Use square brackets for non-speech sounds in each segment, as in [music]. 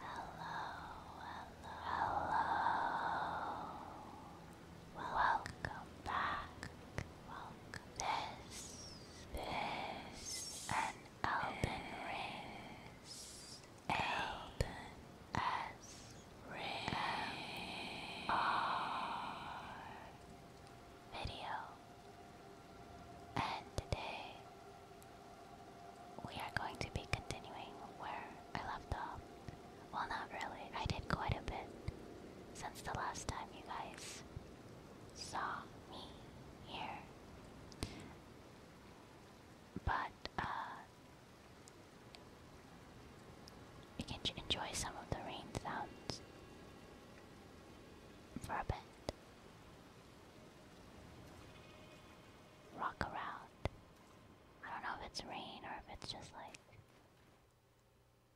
Hello, hello, hello. Welcome, back. Welcome. This, this, an Elden Ring Elden S video. And today we are going to be continuing where I left off. Well, not really. I did quite a bit since the last time you guys saw me here. But uh, you can enjoy some of the rain sounds for a bit. Rock around. I don't know if it's rain or if it's just like.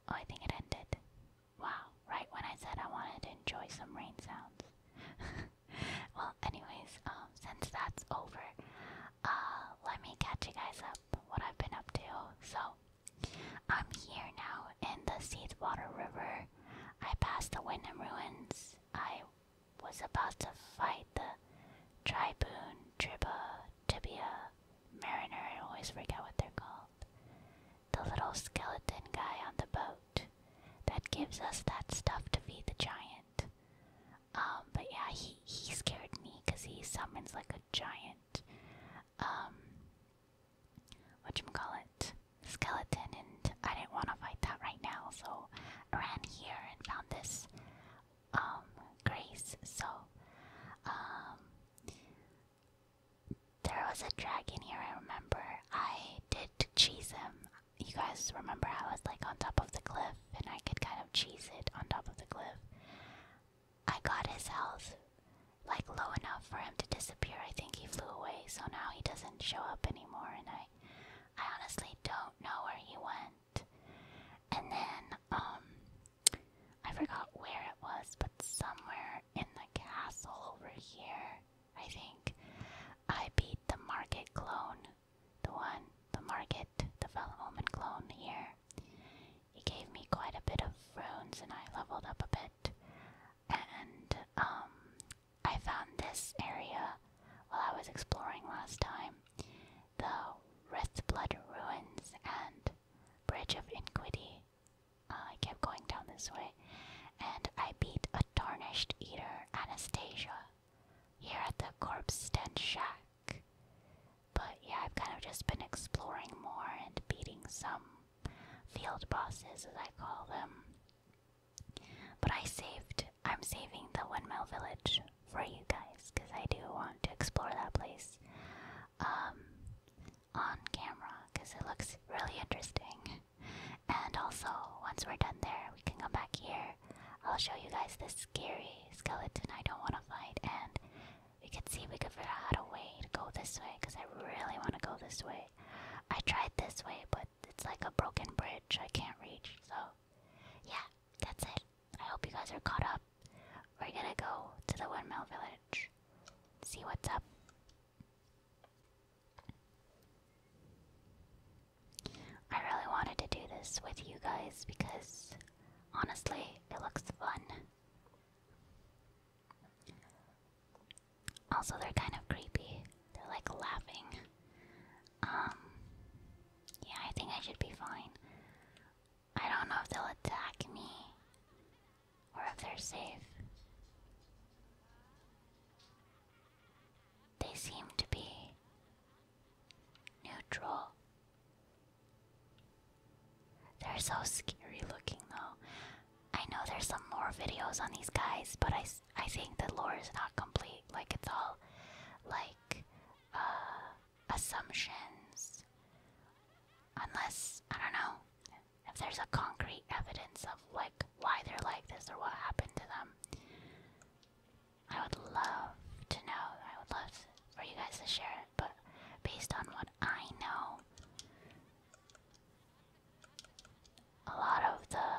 Oh, I think it ended. Wow, right when I said I wanted to enjoy some rain sounds. [laughs] well, anyways, um, since that's over, uh, let me catch you guys up what I've been up to. So, I'm here now in the Seedwater River. I passed the Wind and Ruins. I was about to fight the Triboon, Triba, Tibia, Mariner, I always forget what they're called. The little skeleton guy on the boat that gives us that stuff to feed the giant. Um, but yeah, he he scared me because he summons like a giant, um, what you call it, skeleton, and I didn't want to fight that right now, so I ran here and found this, um, grace. So, um, there was a dragon here. I remember I did cheese him. You guys remember I was like on top of the cliff and I could kind of cheese it on top of the cliff. I got his health like low enough for him to disappear. I think he flew away, so now he doesn't show up anymore and I I honestly don't know where he went. And then um I forgot where it was, but somewhere in the castle over here, I think I beat the market clone the one, the market the development clone here. It gave me quite a bit of runes and I leveled up a bit. And um I found this area while I was exploring last time. The blood Ruins and Bridge of Iniquity. Uh, I kept going down this way. And I beat a tarnished eater, Anastasia, here at the Corpse Stench Shack. But yeah, I've kind of just been exploring more and beating some field bosses, as I call them. But I saved, I'm saving the Windmill Village for you guys, because I do want to explore that place um, on camera, because it looks really interesting. And also, once we're done there, we can come back here. I'll show you guys this scary skeleton I don't want to fight, and we can see we could figure out a way to go this way, because I really want to go this way. I tried this way, but it's like a broken bridge I can't reach, so yeah, that's it. I hope you guys are caught up. We're gonna go to the windmill village, see what's up. I really wanted to do this with you guys because honestly, it looks fun. Also, they're kind of creepy. They're like laughing. Um, yeah, I think I should be fine. I don't know if they'll attack me or if they're safe. They seem to be Neutral. They're so scary looking though. I know there's some more videos on these guys, but I, I think the lore is not complete. Like, it's all like uh, assumptions. Unless, I don't know, if there's a concrete evidence of like why they're like this or what happened to them. I would love to know. I would love to for you guys to share it, but based on what I know, a lot of the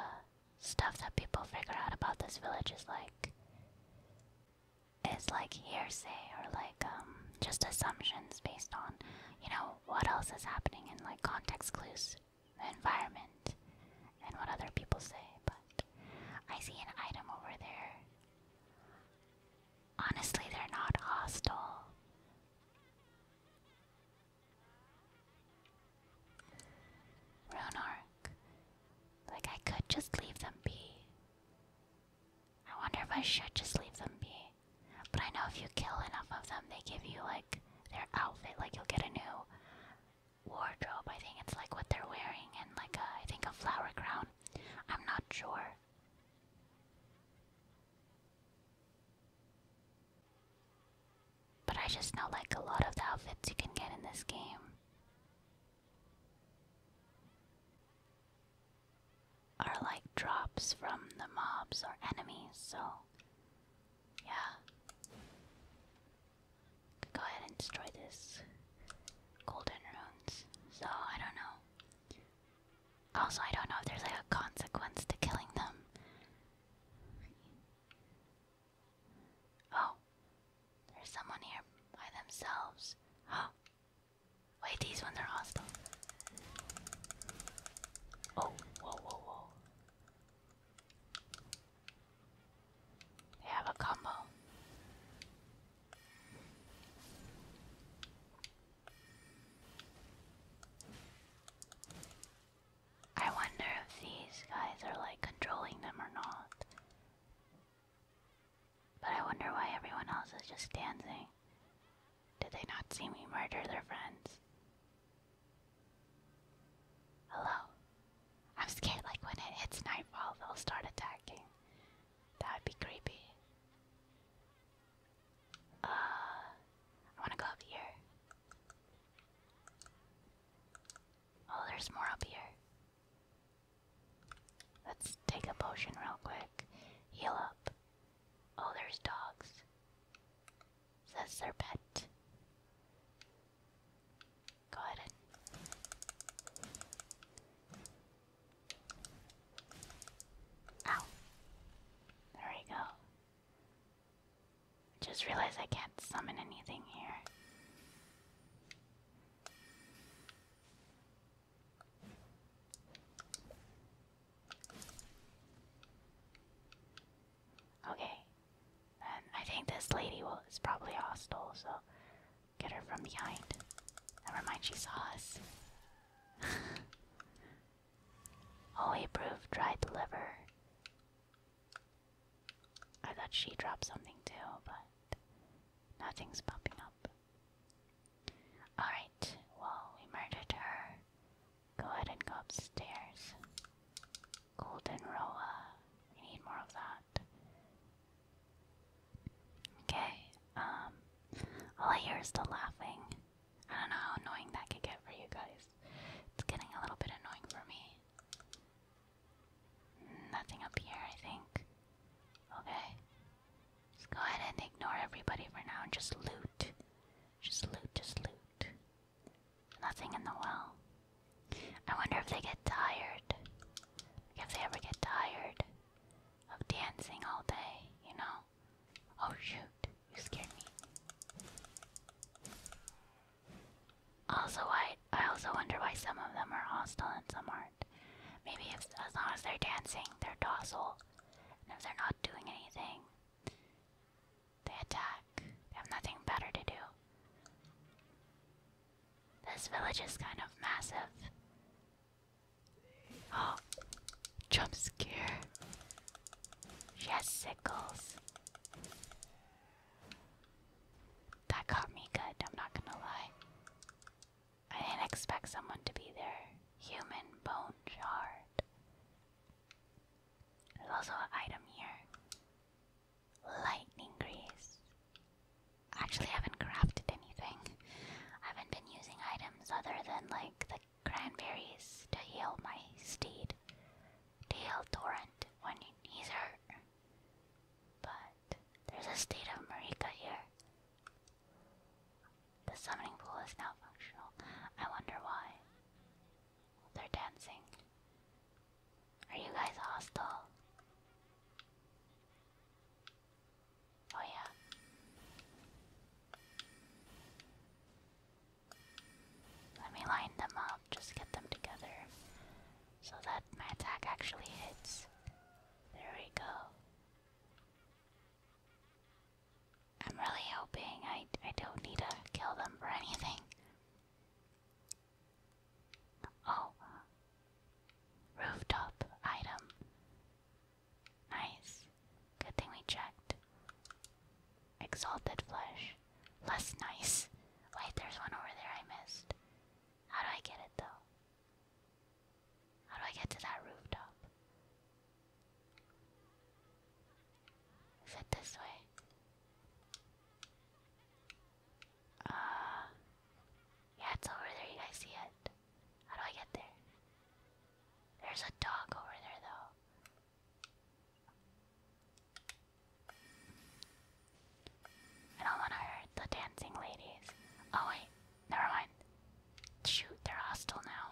stuff that people figure out about this village is like is like hearsay or like um just assumptions based on you know what else is happening in like context clues environment and what other people say but i see an item over there Honestly, they're not hostile. Runark. Like, I could just leave them be. I wonder if I should just leave them be. But I know if you kill enough of them, they give you, like, their outfit. Like, you'll get a new wardrobe. I think it's like what they're wearing, and, like, a, I think a flower crown I'm not sure. But I just know like a lot of the outfits you can get in this game. Are like drops from the mobs or enemies, so yeah. Go ahead and destroy this golden runes. So I don't know. Also, I don't know if there's like a consequence to killing them. Oh, there's someone here by themselves. Oh, wait, these ones are hostile. Oh, whoa, whoa, whoa. They have a combo. I wonder if these guys are like controlling them or not. But I wonder why everyone else is just dancing. Did they not see me murder their friends? Hello? I'm scared like when it hits nightfall, they'll start attacking. That'd be creepy. Uh, I want to go up here. Oh, there's more up here. Let's take a potion real quick. Heal up. Oh, there's dogs. So that's their pet. Go ahead Ow. There we go. Just realized I can't summon anything here. Okay, I think this lady will, is probably hostile, so Get her from behind. Never mind, she saw us. [laughs] oh, he proved dried liver. I thought she dropped something too, but nothing's popping up. Alright, well, we murdered her. Go ahead and go upstairs. Golden Roa. We need more of that. Okay, um, all I hear the laughing. I don't know how annoying that could get for you guys. It's getting a little bit annoying for me. Nothing up here, I think. Okay. Just go ahead and ignore everybody for now and just loot. Just loot, just loot. Nothing in the well. I wonder if they get tired. If they ever get tired of dancing all day, you know? Oh shoot, you scared me. Also, I, I also wonder why some of them are hostile and some aren't. Maybe as long as they're dancing, they're docile. And if they're not doing anything, they attack. They have nothing better to do. This village is kind of massive. Oh, [gasps] jump scare. She sickles. That caught me good, I'm not gonna lie. I didn't expect someone to be there. Human bone shard. There's also an item here lightning grease actually haven't crafted anything. I haven't been using items other than like the cranberries to heal my steed, to heal Torrent when he's hurt. But there's a state of Marika here. The summoning pool is now functional. I wonder why. They're dancing. Are you guys hostile? Oh, yeah. Let me line them up, just get them together so that my attack actually hits. There we go. I'm really hoping I, I don't need to kill them for anything. Oh. Rooftop item. Nice. Good thing we checked. Exalted flesh. Less nice. Wait, there's one over there I missed. How do I get it though? How do I get to that rooftop? Is it this way? Uh yeah, it's over there. You guys see it? How do I get there? There's a dog over there, though. I don't want to hurt the dancing ladies. Oh, wait. Never mind. Shoot, they're hostile now.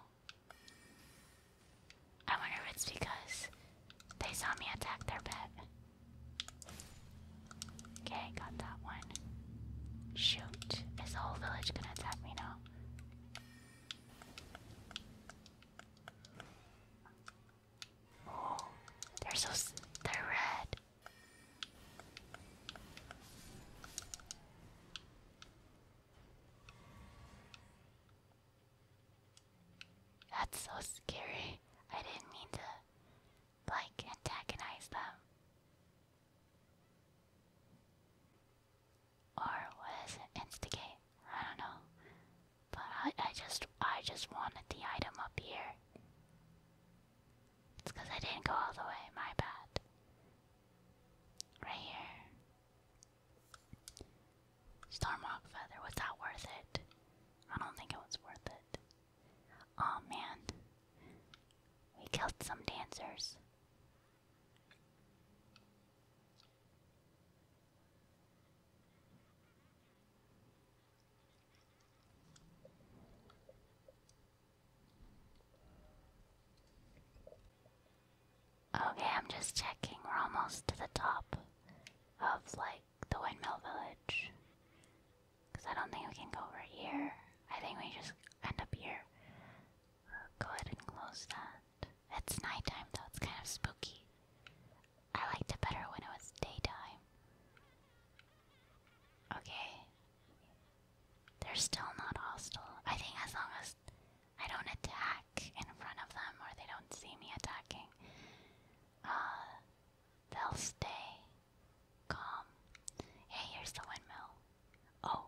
I wonder if it's because they saw me attack their pet. Okay, got that one. Shoot, is the whole village gonna attack me now? Oh, they're so they're red. That's so scary. I didn't mean to like antagonize them. Or was instigate? I don't know. But I I just I just wanted the item up here. It's because I didn't go all the way, my bad. Right here. Starmog feather, was that worth it? I don't think it was worth it. Oh man. We killed some dancers. Okay, I'm just checking. We're almost to the top of like the windmill village. Because I don't think we can go over here. I think we just end up here. Go ahead and close that. It's nighttime though, it's kind of spooky. I liked it better when it was daytime. Okay. They're still not hostile. I think as long as I don't attack in front of them or they don't see me attacking, uh, they'll stay calm. Hey, here's the windmill. Oh,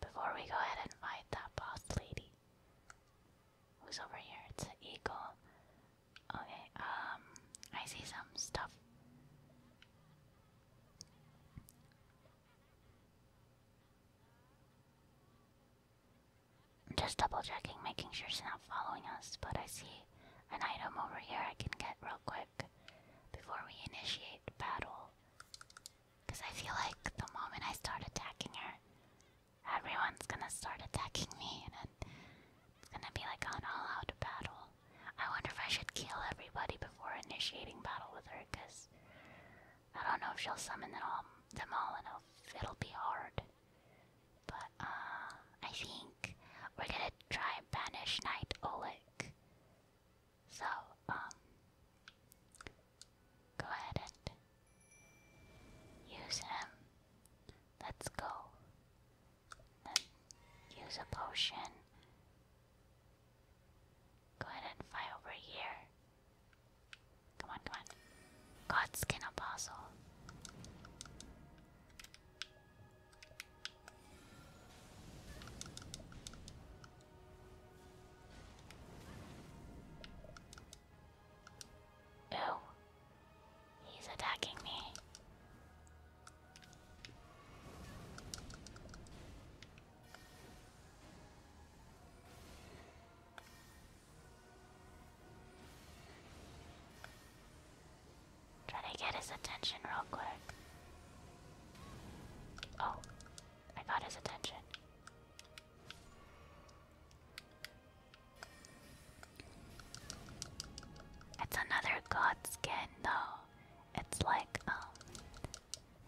Before we go ahead and fight that boss lady. Who's over here? It's an eagle. Okay, um, I see some stuff. I'm just double checking, making sure she's not following us, but I see an item over here I can get real quick before we initiate battle. Because I feel like the moment I start attacking her, everyone's gonna start attacking me, and it's gonna be like an all out battle. I wonder if I should kill everybody before initiating battle with her, because I don't know if she'll summon them all, them all and it'll, be hard. But, uh, I think we're gonna try Banish Knight Oleg. So, um, go ahead and use him. Let's go. Then use a potion. Go ahead and fly over here. Come on, come on. Godskin Apostle. Oh, he's attacking me. Try to get his attention real quick. Oh, I got his attention. It's another god skin though. It's like um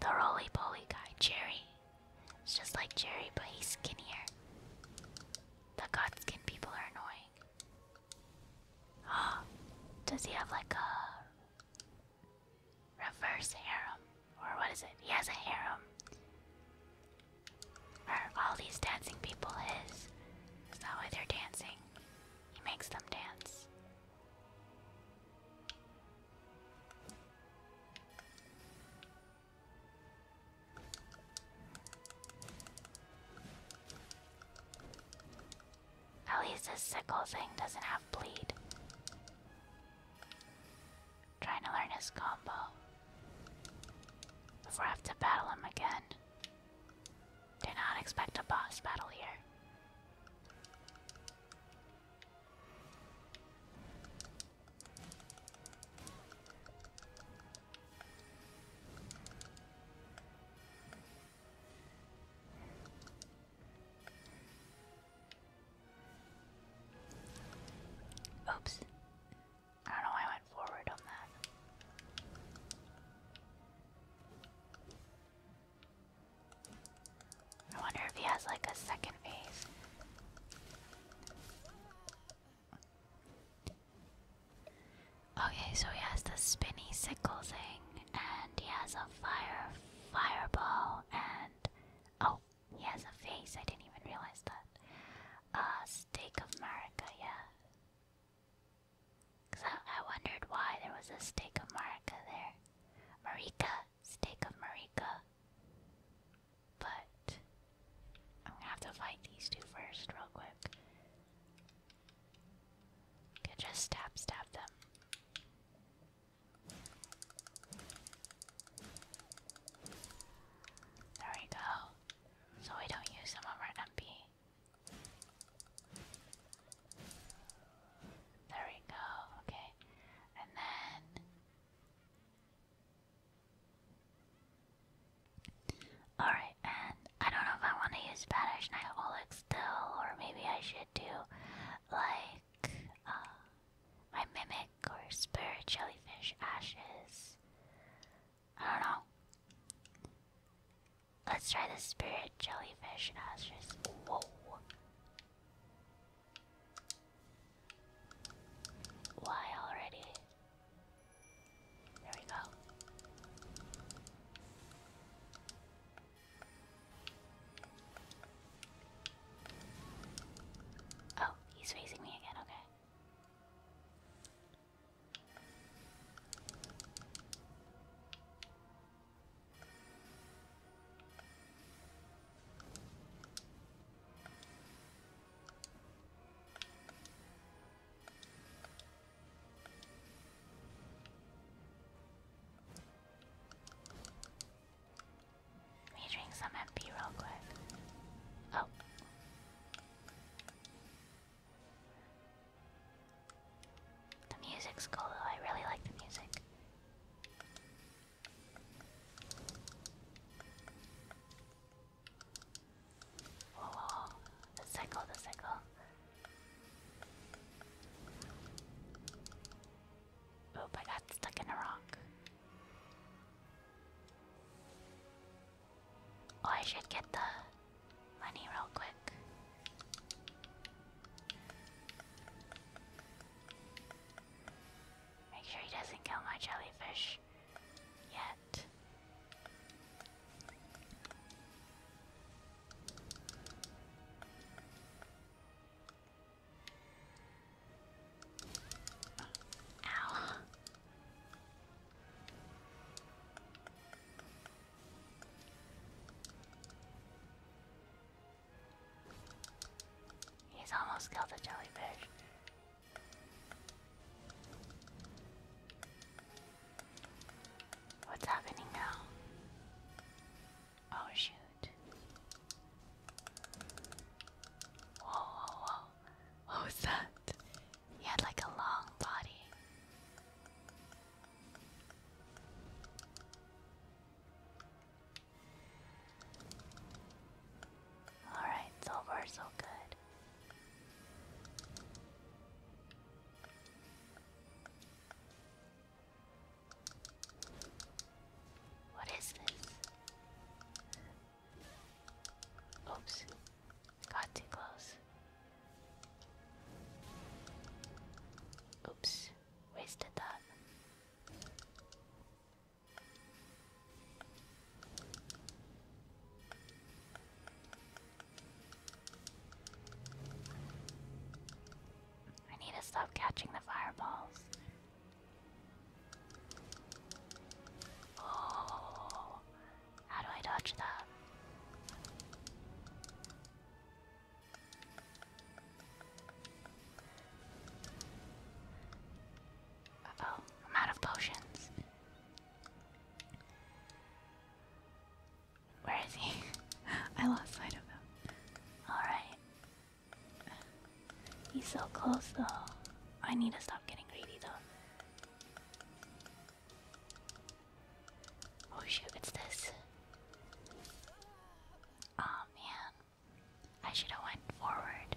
the roly poly guy, Jerry. It's just like Jerry, but he's skinnier. The god skin people are annoying. Oh, [gasps] does he have like a reverse harem. Or what is it? He has a harem. Are all these dancing people his? Is that why they're dancing? He makes them dance. At least this sickle thing doesn't have bleed. Trying to learn his combo. Before I have to battle him again. Do not expect a boss battle here. Oops. I don't know why I went forward on that. I wonder if he has like a second phase. Okay, so he has the spinny sickle thing, and he has a fire fireball, and oh, he has a face. I didn't even realize that. A Steak of America, yeah. Cause I, I wondered why there was a Steak of America there. Marika, Steak of Marika. But I'm gonna have to fight these two first, real quick. just tap, stab them. There we go. So we don't use some of our MP. There we go, okay. And then. Alright, and I don't know if I want to use Spanish Night Oleg still, or maybe I should do like uh, my mimic or spirit jellyfish ashes. I don't know. Let's try the spirit jellyfish ashes. Whoa. Why already? There we go. Oh, he's facing me again, okay. Let me drink some MP real quick. Oh. The music's cool I really like the music. whoa. The cycle, the cycle. Oop, I got stuck in a rock. Oh, I should get the money real quick. Make sure he doesn't kill my jellyfish yet. Ow. He's almost killed the jellyfish. What's happening now? Oh shoot. Whoa, whoa, that? He had like a long body. Alright, so far so good. What is this? Oops. Got too close. Oops. Wasted that. I need to stop catching the fireballs. Oh, how do I dodge that? oh, I'm out of potions. Where is he? [laughs] I lost sight of him. Alright. He's so close though. I need to stop getting greedy though. Oh shoot, it's this. Oh man. I should have went forward.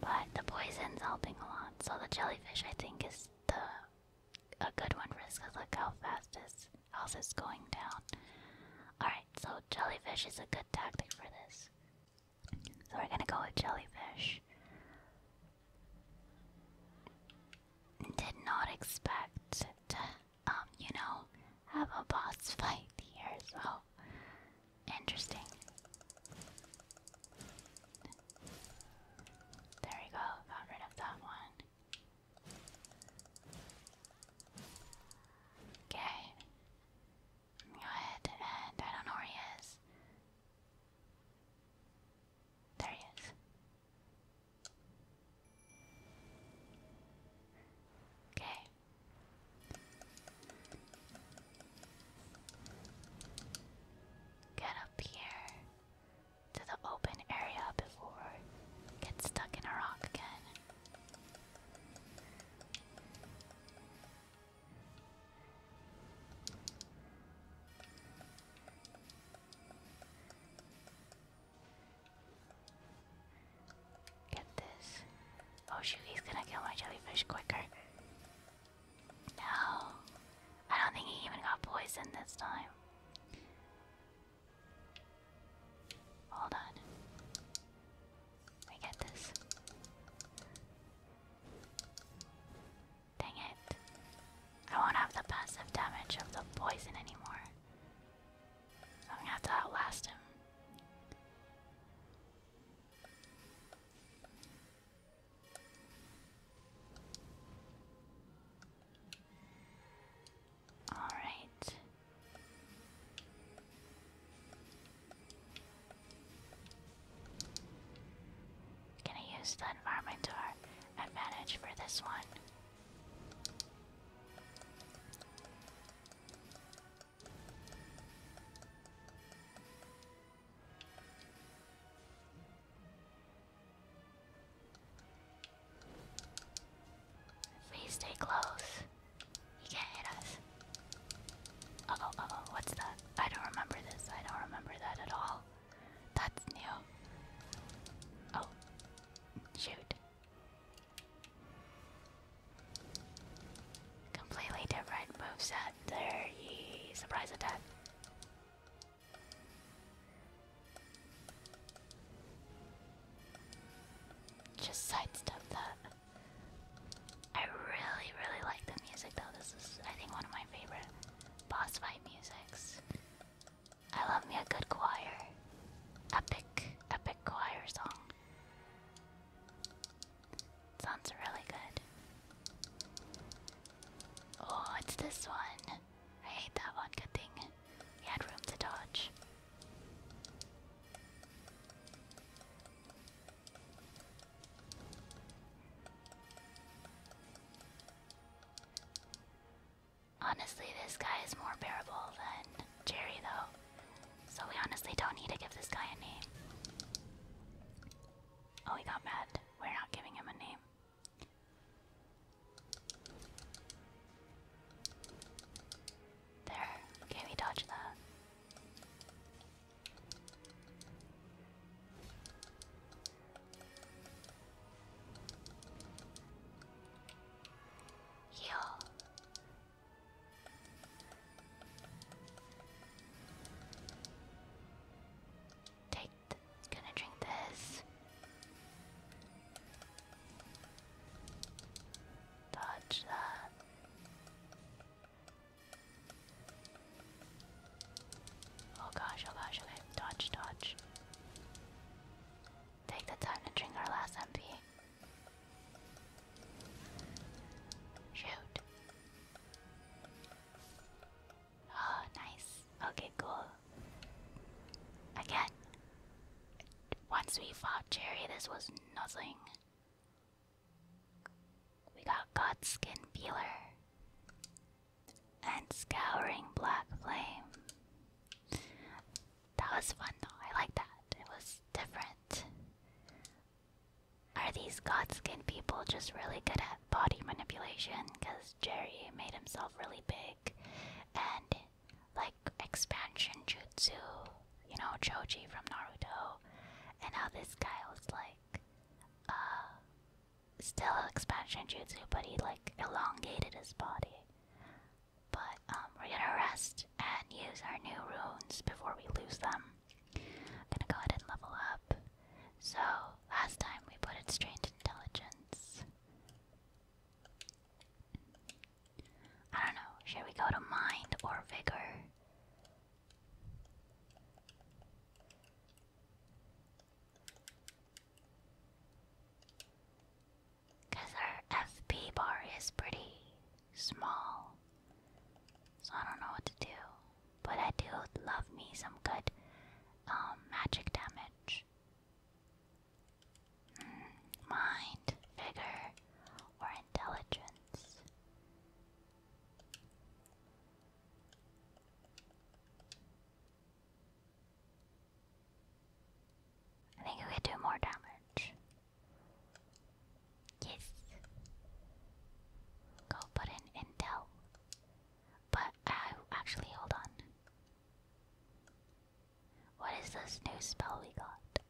But the poison's helping a lot, so the jellyfish I think is the a good one for this because look how fast it's. Else is going down? Alright, so jellyfish is a good tactic for this. So we're gonna go with jellyfish. Did not expect to, um, you know, have a boss [laughs] fight here, so interesting. There we go, got rid of that one. Okay. Go ahead and I don't know where he is. There he is. Okay. Get up here to the open area before get stuck in a rock again. Get this. Oh shoot, he's gonna kill my jellyfish quicker. No. I don't think he even got poisoned this time. Hold on. I get this. Dang it. I won't have the passive damage of the poison anymore. I'm gonna have to outlast him. Alright. Gonna use the environment to our advantage for this one. Please stay close. He can't hit us. oh, uh oh, what's that? I don't remember this. I don't remember that at all. That's new. Oh. Shoot. Completely different moveset. There ye surprise attack. Just sidestep that. I really, really like the music though. This is, I think, one of my favorite boss fight musics. I love me a good choir. Epic, epic choir song. Sounds really good. Oh, it's this one. I hate that one. Good thing. He had room to dodge. Honestly, this guy is more bearable than Jerry, though, so we honestly don't need to give this guy a name. Oh, he got mad. We're not giving him a name. There, can we dodge that? Heal. Take. Gonna drink this. Dodge that. Oh gosh, oh gosh, okay. Dodge, dodge. Take the time to drink our last MP. Shoot. Oh, nice. Okay, cool. Again, once we fought Cherry, this was nothing. We got Godskin Peeler and Scouring Black Flame. That was fun though, I like that. It was different. Are these Godskin people just really good at body manipulation? Because Jerry made himself really big and like expansion jutsu, you know, Choji from Naruto, and how this guy was like, uh, still expansion jutsu, but he like elongated his body. But um, we're gonna rest and use our new runes before we lose them. gonna go ahead and level up. So last time we put it strained intelligence. I don't know, should we go to mind or vigor? Because our FP bar is pretty small, so I don't know what to do. But I do love me some good um, magic damage mind, vigor, or intelligence. I think we could do more damage. Yes. Go put in intel. But uh, actually, hold on. What is this new spell we got?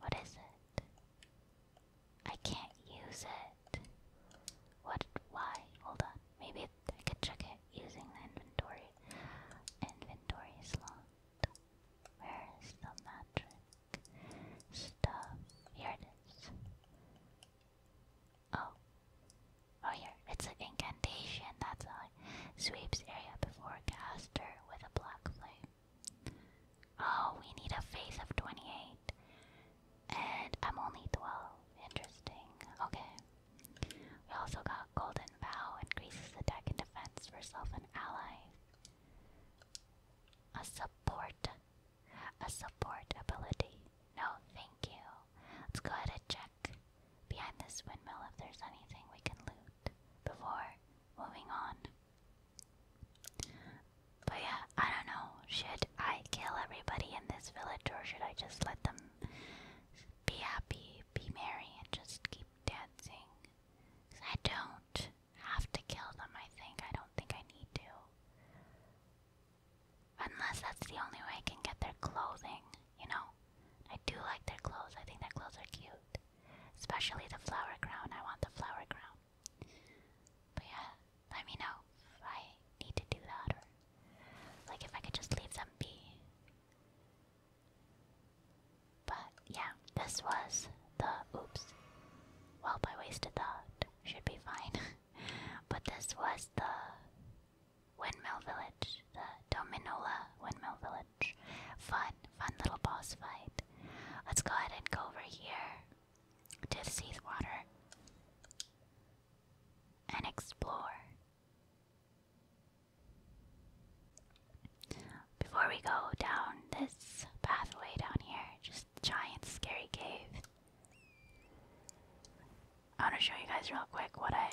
What is it? I can't use it. What? Why? Hold on. Maybe I could check it using the inventory. Inventory slot. Where is the magic stuff? Here Oh, Oh yeah, it's an incantation, that's a sweeps area before caster with a black flame. Oh, we need a face of 28. And I'm only 12. Interesting. Okay. We also got Golden bow increases attack and defense for self and allies. A support. A support ability. No, thank you. Let's go ahead and check behind this windmill if there's anything we can loot before moving on. But yeah, I don't know. Should I kill everybody in this village or should I just let them be happy, be merry, and just keep dancing? I don't have to kill them, I think. I don't think I need to. Unless that's the only way I can get their clothing you know? I do like their clothes. I think their clothes are cute. Especially the flower crown. I want the flower crown. But yeah, let me know if I need to do that or like if I could just leave them be. But yeah, this was the oops. Well, I wasted that. Should be fine. [laughs] but this was the Windmill Village, the Dominoa Windmill Village. Fun, fun little boss fight. Let's go ahead and go over here to the Seathwater and explore. Before we go down this pathway down here, just giant scary cave. I want to show you guys real quick what I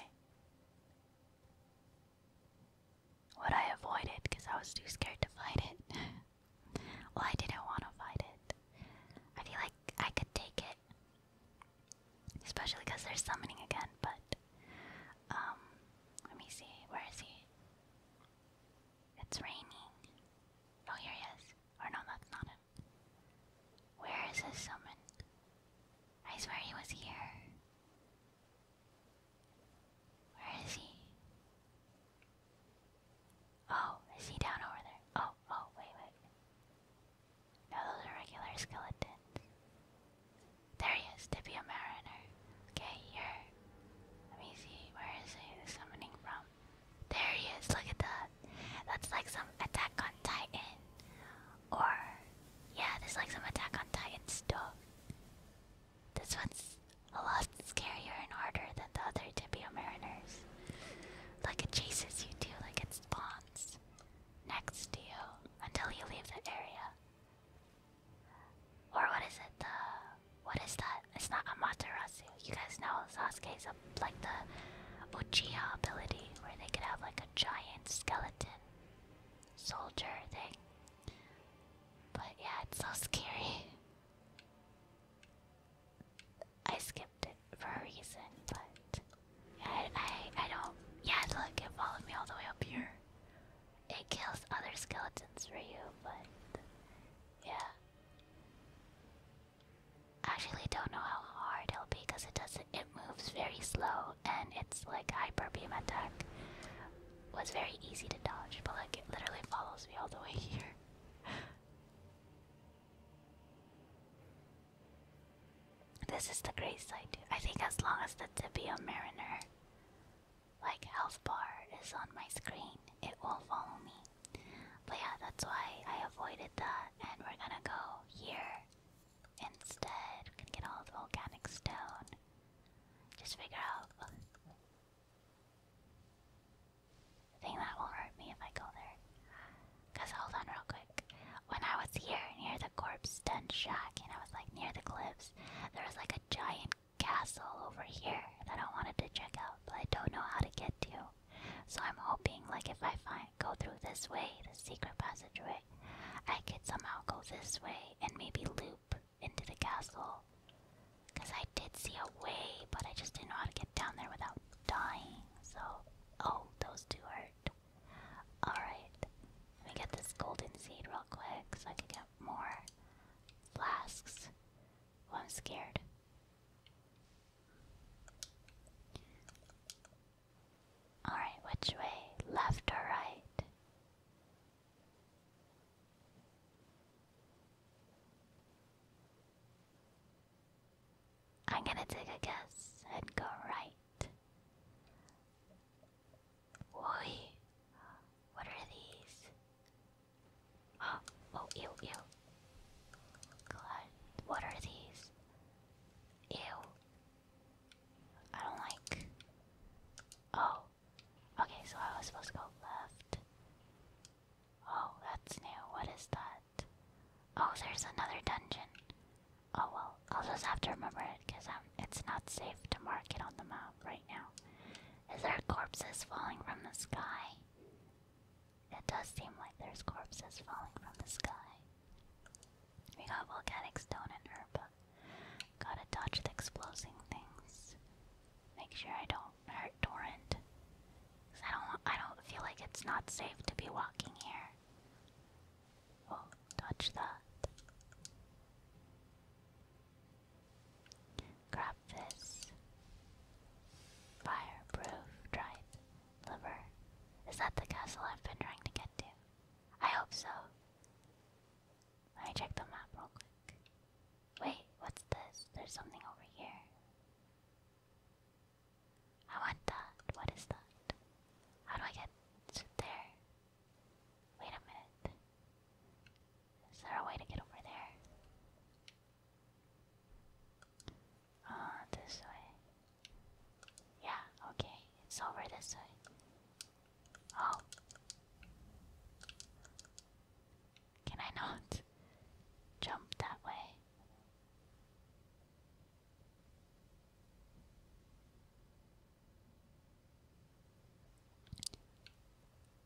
what I avoided because I was too scared to fight it. [laughs] well, I didn't want to fight it. I feel like I could take it. Especially because they're summoning again, but. Um, let me see. Where is he? It's raining. Oh, here he is. Or no, that's not him. Where is his summon? I swear he was here. Where is he? Oh, is he down over there? Oh, oh, wait, wait. No, those are regular skeletons. There he is, Tibia Mariner. Okay, here. Let me see, where is he summoning from? There he is, look at that. That's like some Attack on Titan. Or, yeah, there's like some Attack on Titan stuff. This one's a lot scarier and harder than the other Tibia Mariners. Like it chases you too, like it spawns next to you until you leave the area. Or what is it? The what is that? It's not Amaterasu. You guys know Sasuke's a, like the Uchiha ability, where they could have like a giant skeleton soldier thing. But yeah, it's so scary. [laughs] I skipped it for a reason, but I, I, I don't. Yeah, look, it followed me all the way up here. It kills other skeletons for you, but yeah. actually don't know how hard it'll be because it doesn't moves very slow and it's like hyper beam attack was very easy to dodge, but like it literally follows me all the way here. [laughs] this is the great side I think as long as the Tibia Mariner like health bar is on my screen, it will follow me. But yeah, that's why I avoided that and we're gonna go here Instead, can get all the volcanic stone. Just figure out. I think that will hurt me if I go there. Cause hold on, real quick. When I was here near the corpse den shack, and I was like near the cliffs, there was like a giant castle over here that I wanted to check out, but I don't know how to get to. So I'm hoping, like, if I find go through this way, the secret passageway, I could somehow go this way and maybe loop into the castle. Because I did see a way, but I just didn't know how to get down there without dying. So, oh, those two hurt. Alright, let me get this golden seed real quick so I can get more flasks. Oh, I'm scared. Alright, which way? Left or right? I'm gonna take a guess and go right. Why? What are these? Oh, oh, ew, ew. what are these? Ew, I don't like. Oh. Okay, so I was supposed to go left. Oh, that's new. What is that? Oh, there's another dungeon. Oh well, I'll just have to remember it because um, it's not safe to mark it on the map right now. Is there corpses falling from the sky? It does seem like there's corpses falling from the sky. We got volcanic stone and herb. Gotta dodge the exploding things. Make sure I don't hurt Torrent. I don't. I don't feel like it's not safe to be walking here. Oh, dodge Grab this. Fireproof dried liver. Is that the castle I've been trying to get to? I hope so. I check the map real quick. Wait, what's this? There's something over here. I want that. What is that? How do I get to there? Wait a minute. Is there a way to get over there? Ah, this way. Yeah, okay. It's over this way. Oh. Can I not jump that way?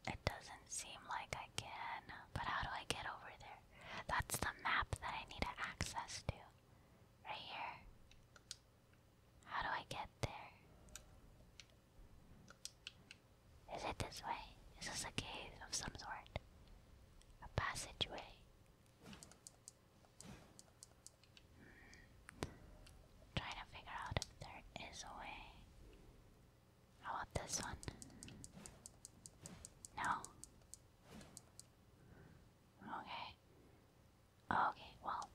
It doesn't seem like I can, but how do I get over there? That's the map that I need access to. Right here. How do I get there? Is it this way? Is this a cave of some sort? A passageway? Hmm. trying to figure out if there is a way. How about this one? No? Okay. Okay, well,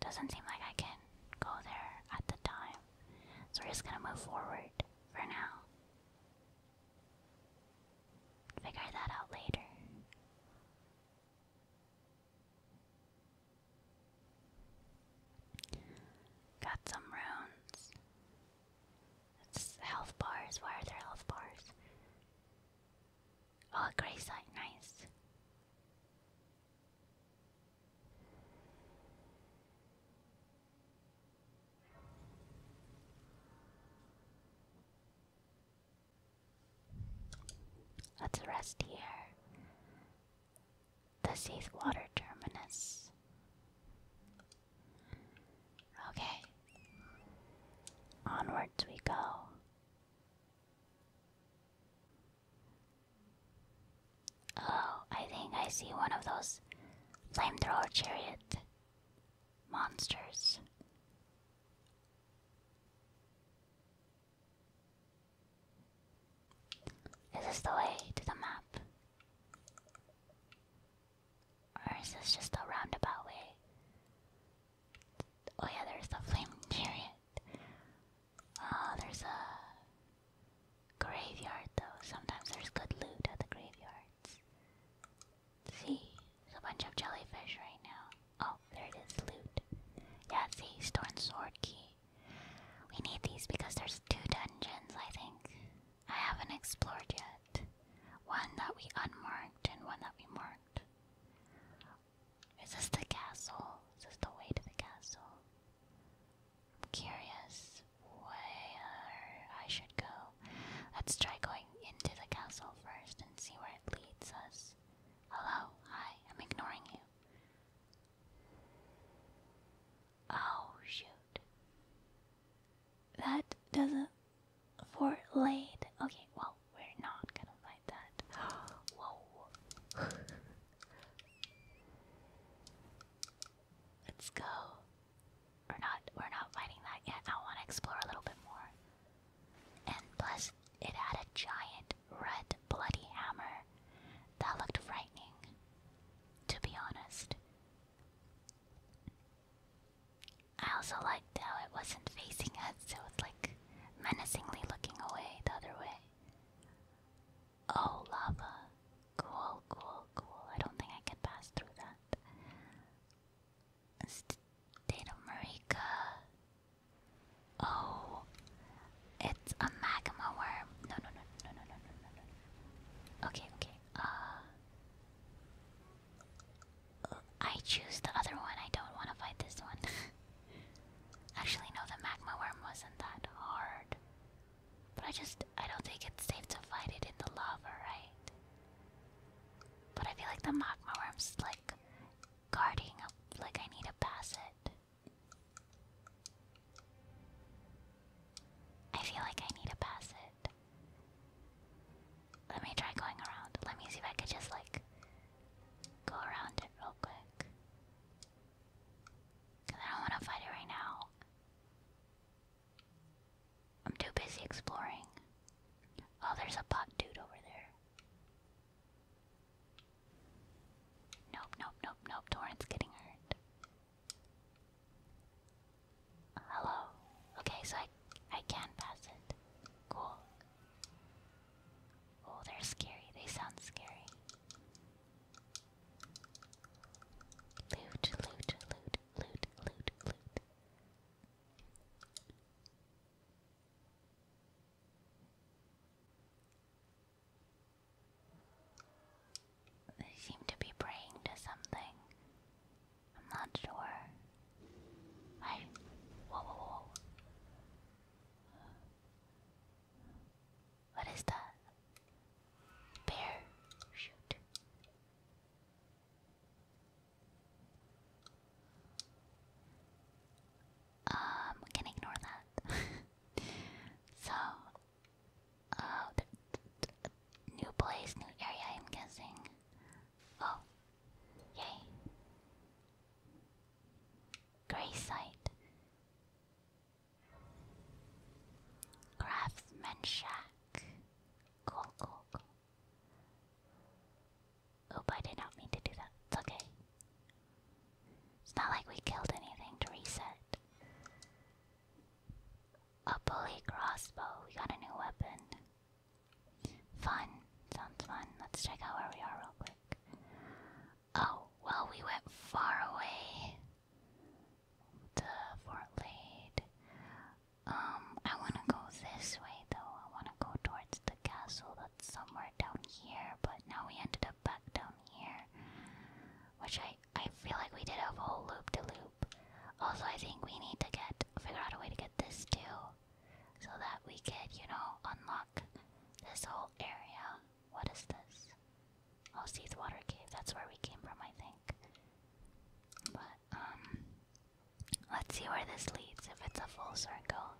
doesn't seem like I can go there at the time, so we're just gonna move forward for now. Figure that out later. Got some runes. It's health bars. Why are there health bars? Oh, a gray site, nice. Let's rest here. The sea's water terminus. Okay. Onwards we go. Oh, I think I see one of those flamethrower chariot monsters. Is this the way to the map? Or is this just a roundabout way? Oh yeah, there's the flame chariot. Oh, there's a graveyard though. Sometimes there's good loot at the graveyards. See, there's a bunch of jellyfish right now. Oh, there it is, loot. Yeah, see, Storm Sword Key. We need these because there's two dungeons, I think. I haven't explored yet. One that we unmarked and one that we marked. Is this the castle? Is this the way to the castle? I'm curious where I should go. Let's try going into the castle first and see where it leads us. Hello? Hi, I'm ignoring you. Oh, shoot. That doesn't. Fort Lade. Okay, well, we're not gonna [gasps] [laughs] Let's go. We're not we're not fighting that yet. I wanna explore a little bit more. And plus it had a giant red bloody hammer. That looked frightening, to be honest. I also liked how it wasn't facing us, it was like menacingly looking away the other way. Oh, lava. Cool, cool, cool. I don't think I can pass through that. State of Marika. Oh, it's a magma worm. No, no, no, no, no, no, no, no, no. Okay, okay. Uh, I choose the other one. I don't want to fight this one. [laughs] Actually, no, the magma worm wasn't that hard. But I just, I don't think it's safe to fight it in the lava, right? But I feel like the magma worm's like guarding up, like I need to pass it. I feel like I need to pass it. Let me try going around. Let me see if I could just like go around it real quick. Cause I don't want to fight it right now. I'm too busy exploring. Oh, there's a pot dude over there. Nope, nope, nope, nope. Torrent's getting hurt. Hello. Okay, so I I can pass it. Cool. Oh, they're scary. They sound scary. Loot, loot, loot, loot, loot, loot. They seem to be praying to something. I'm not sure. I. Whoa, whoa, whoa. What is that? Bear. Shoot. Um, can ignore that. [laughs] so, uh, new place, new area, I'm guessing. Oh, yay. Gray site. Craftsman Shack. Cool, cool, cool. Oop, I did not mean to do that. It's okay. It's not like we killed anything to reset. A bully crossbow. We got a new weapon. Fun. Sounds fun. Let's check out where we are real quick. Oh, well, we went far away to Fort Lade. Um, I want to go this way though. I want to go towards the castle that's somewhere down here, but now we ended up back down here. Which I, I feel like we did a whole loop to loop. Also, I think we need to get figure out a way to get this too, so that we could, you know, unlock this whole area. What is this? Oh, water Cave. That's where we came from, I think. But, um, let's see where this leads, if it's a full circle.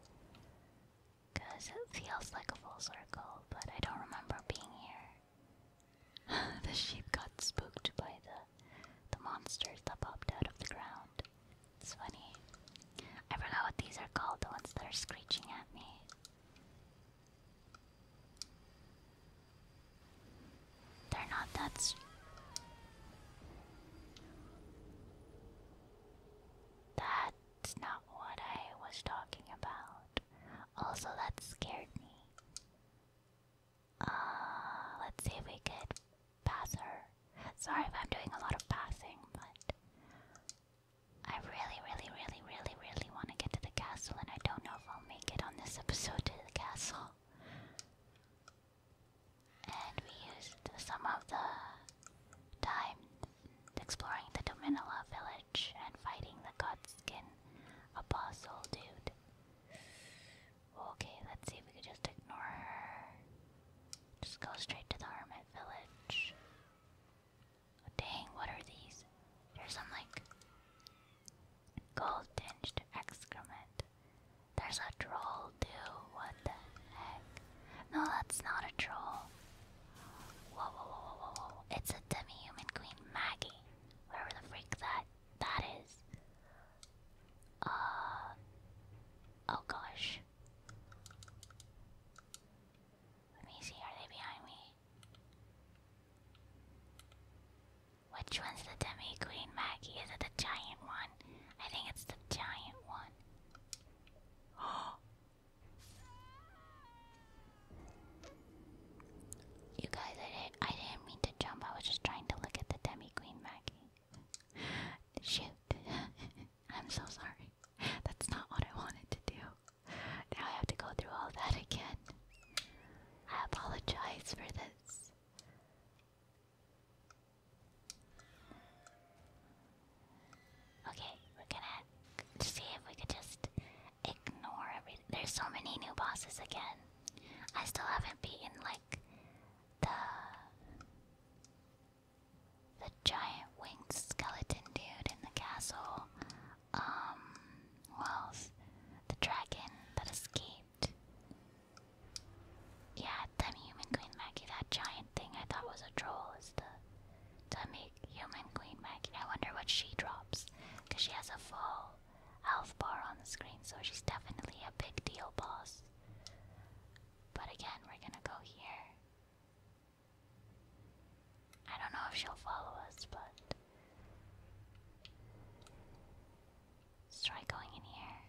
Because it feels like a full circle, but I don't remember being here. [laughs] the sheep got spooked by the, the monsters that popped out of the ground. It's funny. I forgot what these are called, the ones that are screeching at me. They're not that. That's not what I was talking about. Also, that scared me. Uh, let's see if we could pass her. Sorry if I'm doing a lot of passing, but I really, really, really, really, really want to get to the castle, and I don't know if I'll make it on this episode to the castle. And we used some of the time exploring the Dominilla village and fighting the Godskin Apostle dude. Okay, let's see if we can just ignore her. Just go straight to the Hermit village. Dang, what are these? There's some like gold tinged excrement. There's a troll too. What the heck? No, that's not a troll. Whoa, whoa, whoa, whoa, whoa, It's a demi-human queen, Maggie. Where the freak that that is. Uh oh gosh. Let me see, are they behind me? Which one's the demi queen, Maggie? Is it the giant one? I think it's the giant one. Oh. [gasps] You guys, I didn't, I didn't mean to jump. I was just trying to look at the demi queen, Maggie. [laughs] Shoot. [laughs] I'm so sorry. That's not what I wanted to do. Now I have to go through all that again. I apologize for this. Okay, we're gonna see if we could just ignore There's so many new bosses again. I still haven't beaten, like, the. The giant winged skeleton dude in the castle. Um, who The dragon that escaped. Yeah, demi-human Queen Maggie, that giant thing I thought was a troll is the demi-human Queen Maggie. I wonder what she drops, because she has a full health bar on the screen, so she's definitely a big deal boss. But again, we're gonna go here. I don't know if she'll follow us, but let try going in here.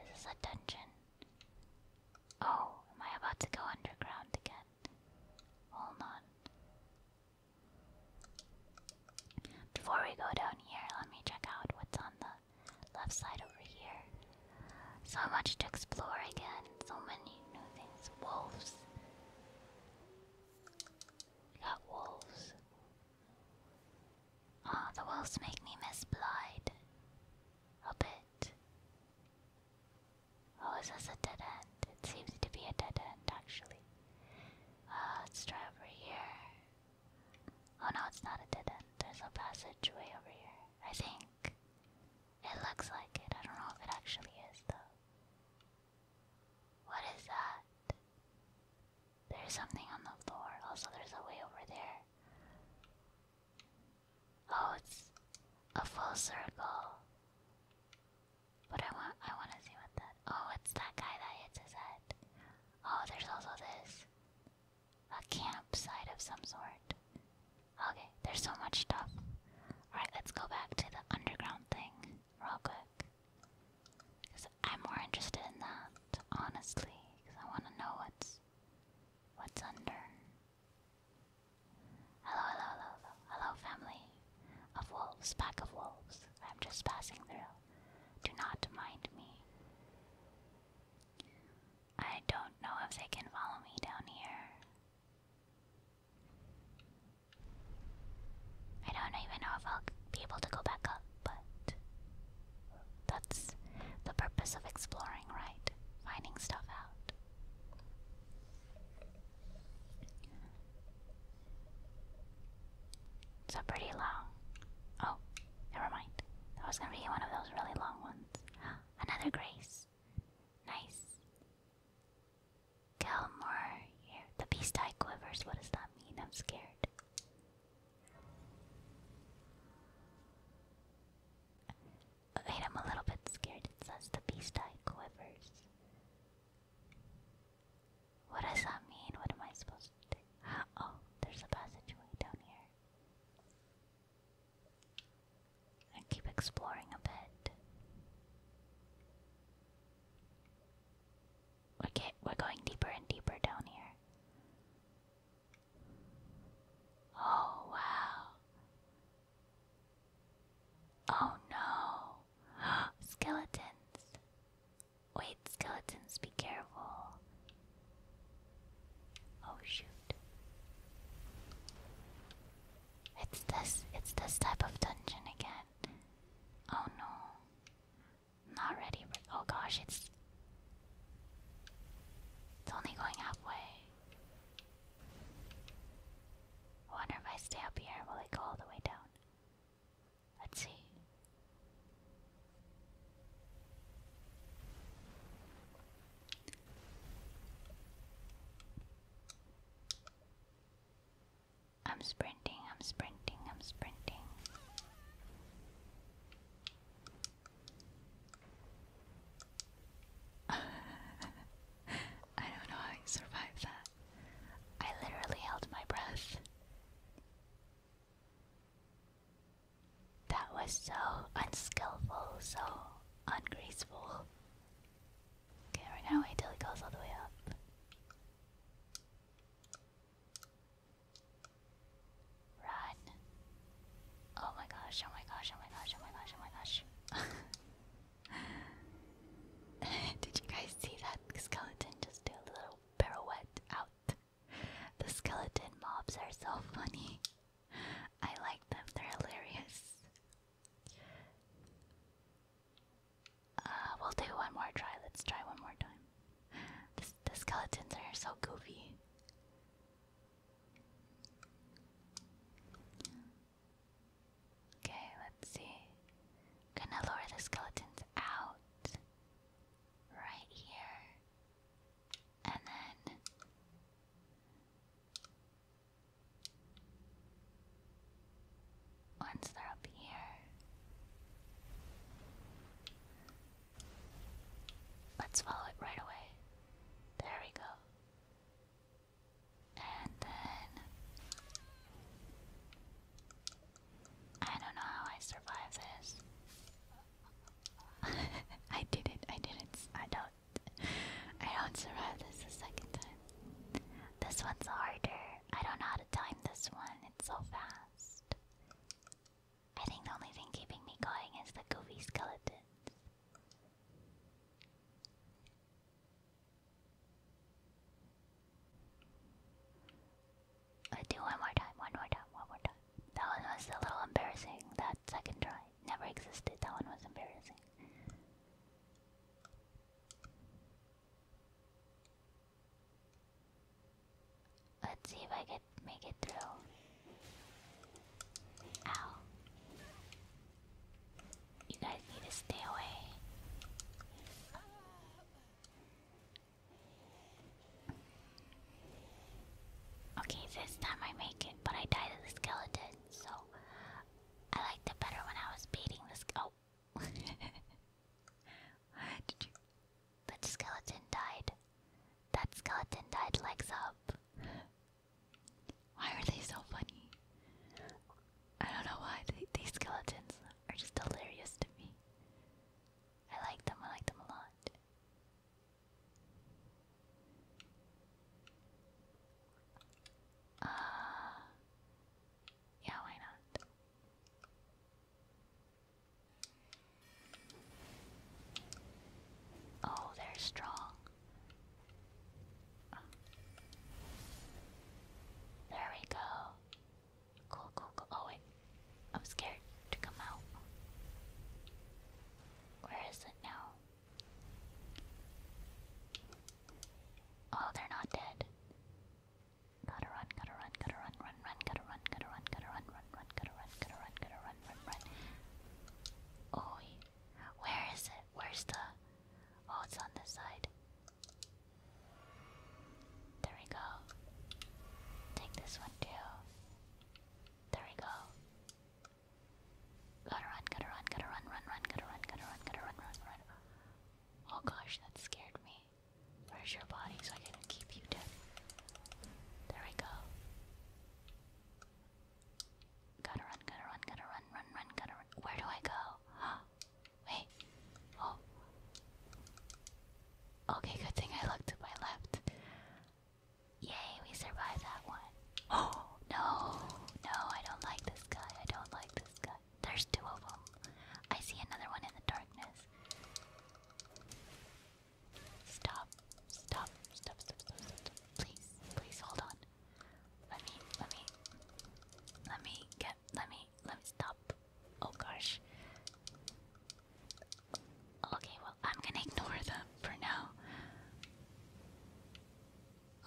This is a dungeon. Oh, am I about to go underground again? Hold on. Before we go down here, let me check out what's on the left side over here. So much to explore again. So many new things. Wolves. We got wolves. Oh, the wolves make me miss Blight a bit. Oh, is this a dead end? It seems to be a dead end, actually. Uh, let's try over here. Oh no, it's not a dead end. There's a passageway over here. I think. It looks like it. I don't know if it actually is, though. What is that? There's something on the floor. Also, there's a way over there. Oh, it's a full circle. But I want I want to see what that. Oh, it's that guy that hits his head. Oh, there's also this a campsite of some sort. Okay, there's so much stuff. Alright, let's go back to the underground thing real quick. Because I'm more interested in that, honestly. Because I want to know what's, what's under. hello, hello, hello. Hello, family of wolves, pack of wolves. I'm just passing through. Do not mind me. I don't know if they can follow me down here. I don't even know if I'll be able to go back up, but that's the purpose of exploring, right? Finding stuff out. So pretty long. Oh, never mind. That was gonna be one of those really long ones. Another grace. Nice. Galmore here. The beast eye quivers. What does that mean? I'm scared. Wait, I'm a little bit scared. It says the beast eye quivers. What does that mean? What am I supposed to do? [gasps] Oh, there's a passageway down here and keep exploring a bit. Okay, we're going deeper and deeper down here. Oh, wow. Oh no. [gasps] Skeletons. Wait, skeletons, be careful. Oh shoot. It's this it's this type of dungeon again. Oh no. Not ready oh gosh, it's It's only going halfway. wonder if I stay up here, will it go all the way down? Let's see. I'm sprinting, I'm sprinting, I'm sprinting. [laughs] I don't know how I survived that. I literally held my breath. That was so unskillful, so ungraceful. Okay, we're wait till it goes all the way up. Run. Oh my gosh, oh my gosh, oh my gosh, oh my gosh, oh my gosh. [laughs] Did you guys see that skeleton just do a little pirouette out? The skeleton mobs are so funny. I like them, they're hilarious. Uh, we'll do one more try. Let's try one more time. the skeletons are so goofy. Okay, let's see. Gonna lower the skeletons out right here. And then once they're up here, let's follow it right away. There we go. And then. I don't know how I survived this. [laughs] I didn't, I didn't, I don't, I don't survive this the second time. This one's harder. I don't know how to time this one. It's so fast. I think the only thing keeping me going is the goofy skeleton. let do one more time, one more time, one more time. That one was a little embarrassing. The second try. Never existed. That one was embarrassing. Let's see if I can make it through. Ow. You guys need to stay away. Okay, this time I make it, but I died to the skeleton, so I liked it better when I was beating this. Oh. [laughs] The skeleton died. That skeleton died legs up. Why are they so funny? I don't know why. these skeletons are just hilarious to me. I like them, I like them a lot. Uh, yeah, why not? Oh, they're strong. There we go. Cool, cool, cool. Oh, wait. I'm scared to come out. Where is it now? Oh, they're not dead. Gotta run, gotta run, gotta run, run, run, gotta run, gotta run, gotta run, run, run, gotta run, gotta run, gotta run, run, run. Oh, where is it? Where's the? Oh, it's on this side. There we go. Take this one too. There we go. Gotta run, gotta run, gotta run, run, run, gotta run, gotta run, gotta run, run, run. Oh gosh, that scared me. Where's your body so I can keep you dead? There we go. Gotta run, gotta run, gotta run, run, run, gotta run. Where do I go? [gasps] Wait. Oh. Okay, good thing I looked to my left. Yay, we survived that one. [gasps] Oh, no, no, I don't like this guy. I don't like this guy. There's two of them. I see another one in the darkness. Stop, stop, stop, stop, stop, Please, please hold on. Let me, let me, let me get, let me, let me stop. Oh gosh. Okay, well, I'm gonna ignore them for now.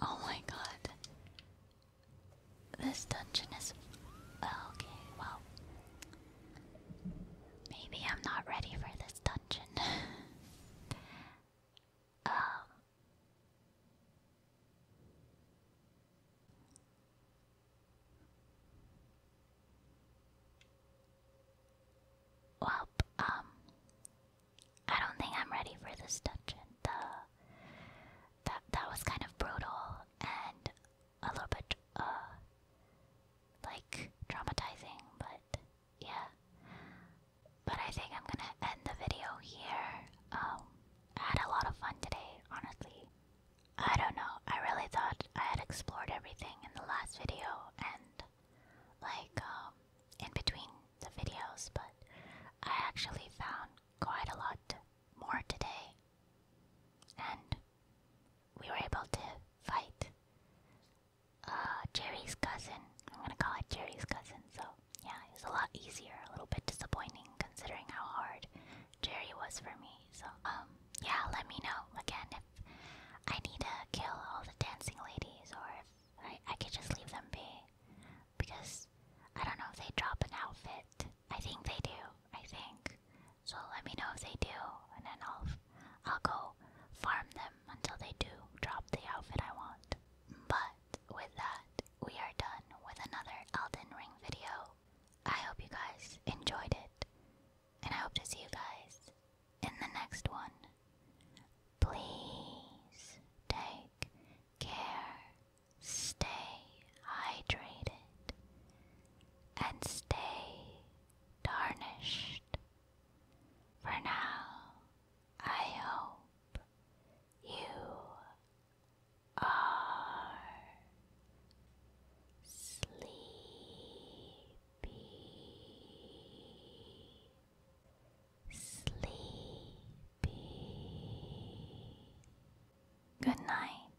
Oh my god. This dungeon is. Okay, well. Maybe I'm not ready for this dungeon. [laughs] Um, well, um, I don't think I'm ready for this dungeon. The that that was kind of brutal and a little bit uh like traumatizing, but yeah. But I think I'm gonna end the video here. Um, I had a lot of fun today, honestly. I don't know. I really thought I had explored everything in the last video and like um, in between the videos, but I actually found quite a lot more today. And we were able to fight uh, Jerry's cousin. I'm gonna call it Jerry's cousin, so yeah, it was a lot easier, a little bit disappointing considering how hard Jerry was for me. So, um, yeah, let me know again if I need to kill all the dancing ladies or I, I could just leave them be. Because I don't know if they drop an outfit. I think they do. I think. So let me know if they do, and then I'll I'll go farm them until they do drop the outfit I want. But with that, we are done with another Elden Ring video. I hope you guys enjoyed it, and I hope to see you guys in the next one. Please take care, stay hydrated, and stay tarnished. For now, I hope you are sleepy. Sleep. Good night.